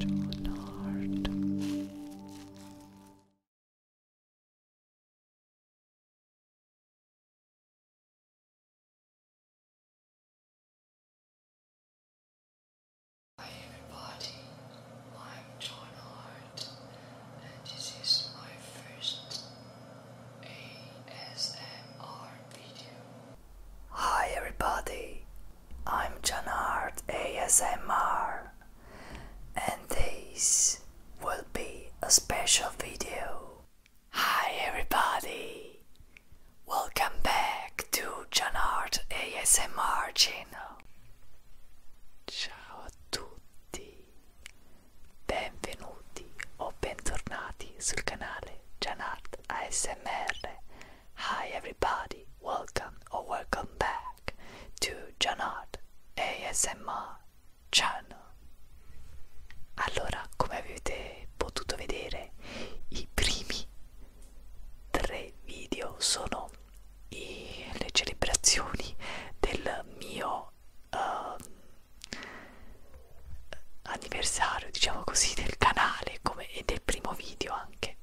Donard. Hi everybody, I'm John Hart and this is my first ASMR video. Hi everybody, I'm Janart ASMR and this will be a special video. Hi everybody, welcome back to Janart ASMR channel. Ciao a tutti, benvenuti o bentornati sul canale Janard ASMR Hi everybody, welcome or welcome back to Janard ASMR channel. Allora, come avete potuto vedere, i primi tre video sono i, le celebrazioni del mio uh, anniversario diciamo così del canale come, e del primo video anche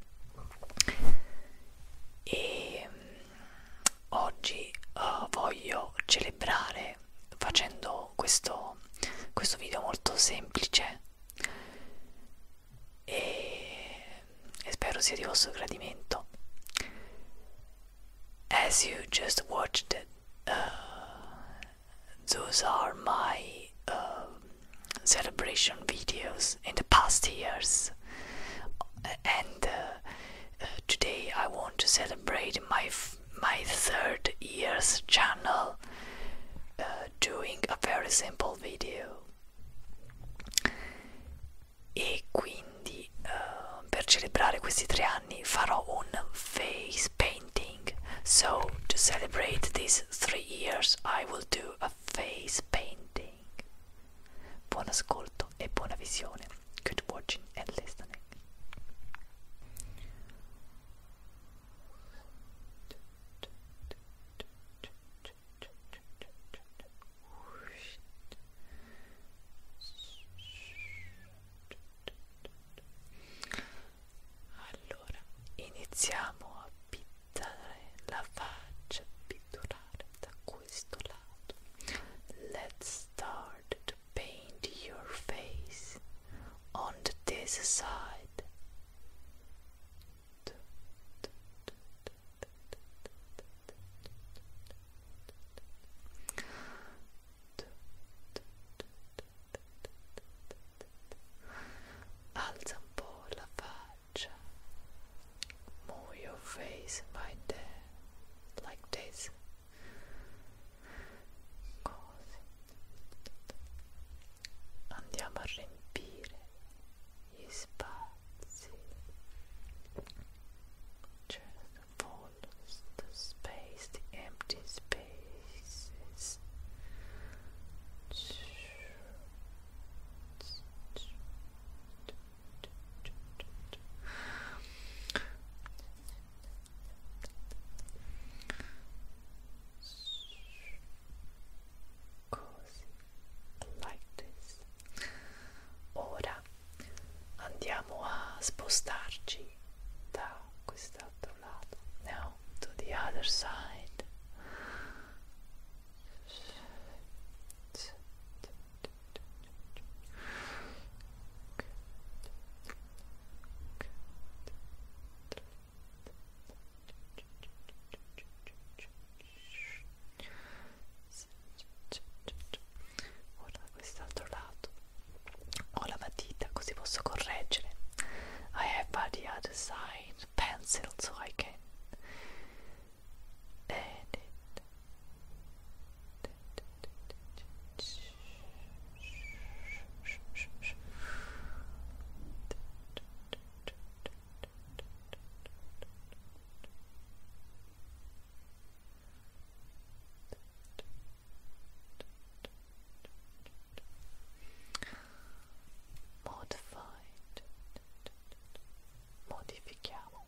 e mm, oggi uh, voglio celebrare facendo questo, questo video molto semplice e, e spero sia di vostro gradimento as you just watched uh, those are my um, celebration videos in the past years and uh, uh, today i want to celebrate my my third year's channel uh, doing a very simple video e quindi per celebrare questi tre anni farò un face painting so, to celebrate these three years, I will do a face painting. Buon e buona visione. Good watching and listening. allora iniziamo a pittare la faccia pitturare da questo lato let's start to paint your face on this side Let's alza un po' la faccia move your face by like this così a riempire gli spazi just follows the space, the empty space faces. Così, like this. Ora andiamo a spostarci da questa Now to the other side. Ora quest'altro lato. ho la matita così posso correggere I have by the other side pencil so I can edit Ecco modified, modificamos,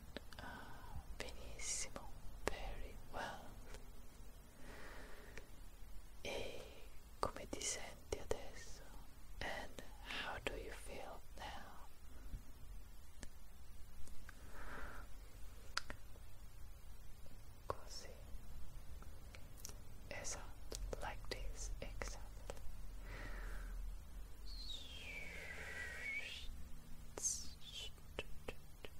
Ah, benissimo, very well. E come ti senti adesso? And how do you feel now? like this, exactly.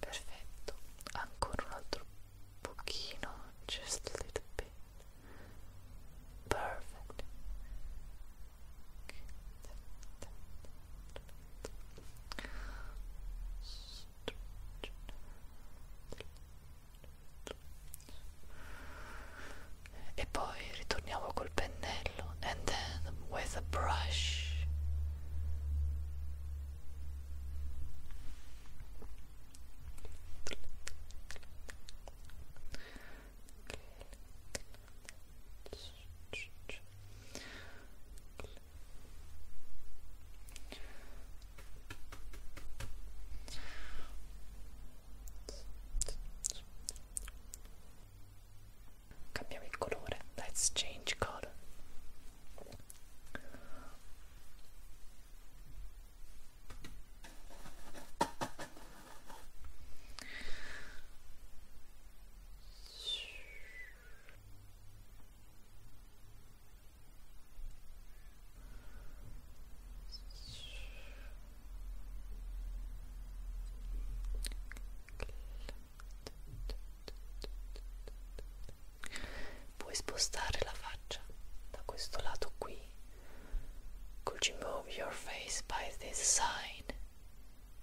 perfetto ancora un altro pochino just a little bit perfect so e poi ritorniamo col pennello and then with a brush Cambiamo il colore. Let's change color. Puoi spostare la faccia da questo lato qui. Could you move your face by this side?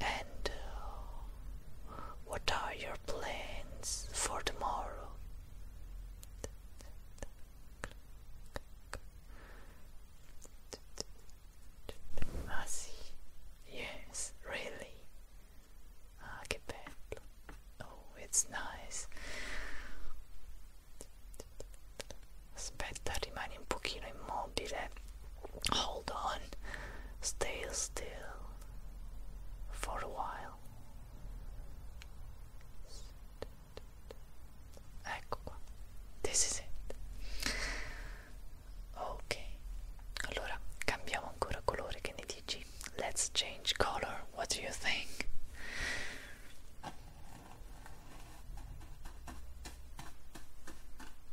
And uh, what are your plans for tomorrow? I Yes, really. Archipel. Ah, oh, it's nice. Aspetta, rimani un pochino immobile Hold on, stay still for a while. Ecco qua, this is it. Ok, allora cambiamo ancora colore, che ne dici? Let's change color, what do you think?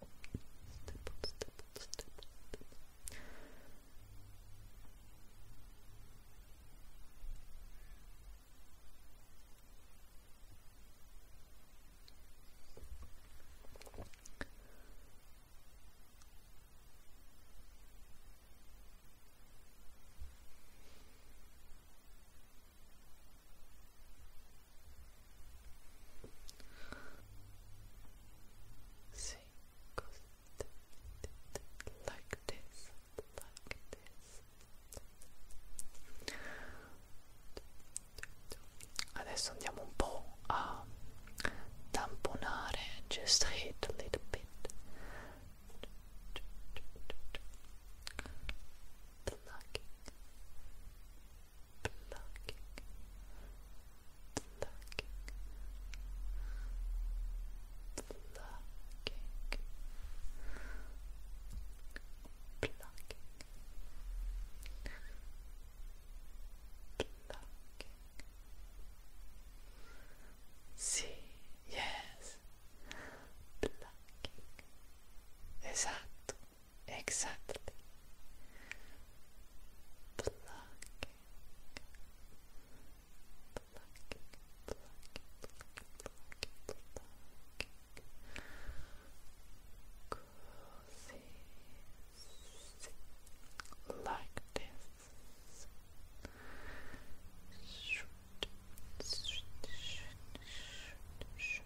stipple, stipple, stipple, stipple. Good. See, cause like this, like this. Adesso andiamo un po' a tamponare, just hit a little bit. Plucking, plucking, plucking, plucking, plucking. Plucking. Sí, yes. Plucking. Exacto. Exactly. Plucking, plucking, plucking, plucking, plucking. Cozy, like this. Shoot, shoot, shoot, shoot, shoot.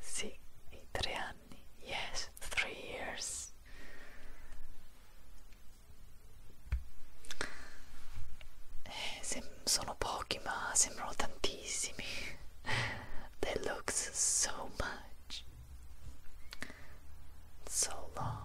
Sì, i anni. Yes, three years. Eh, sono pochi, ma sembrano tantissimi. They look so much. So long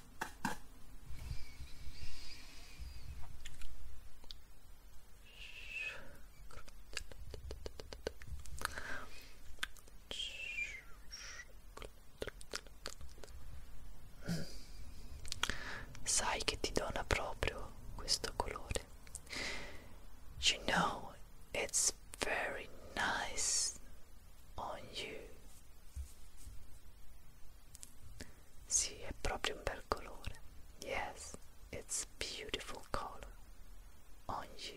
Mm. Sai che ti dona proprio questo colore. You know, it's very nice on you. Sì, è proprio un bel colore. Yes, it's beautiful color on you.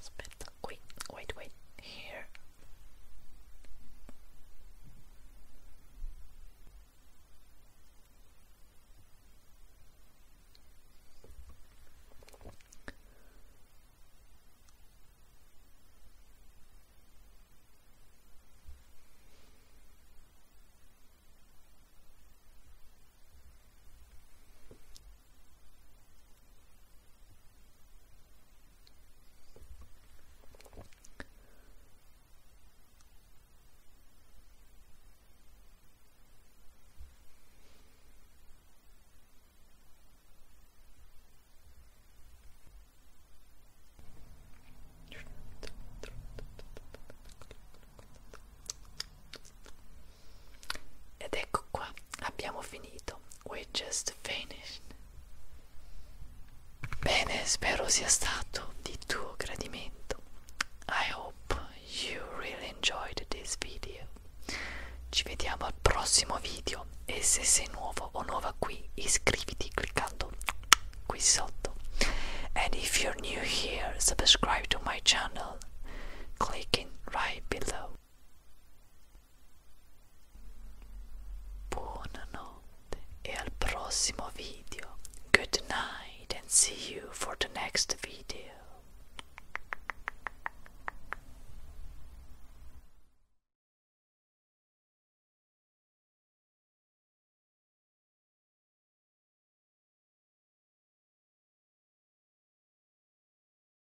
Spit. Wait, wait, wait. Here. Ed ecco qua, abbiamo finito we just finished. Bene, spero sia stato di tuo gradimento. I hope you really enjoyed this video. Ci vediamo al prossimo video e se sei nuovo o nuova qui iscriviti cliccando qui sotto. And if you're new here, subscribe to my channel clicking right below. Buonanotte e al prossimo video. Good night and see you for the next video.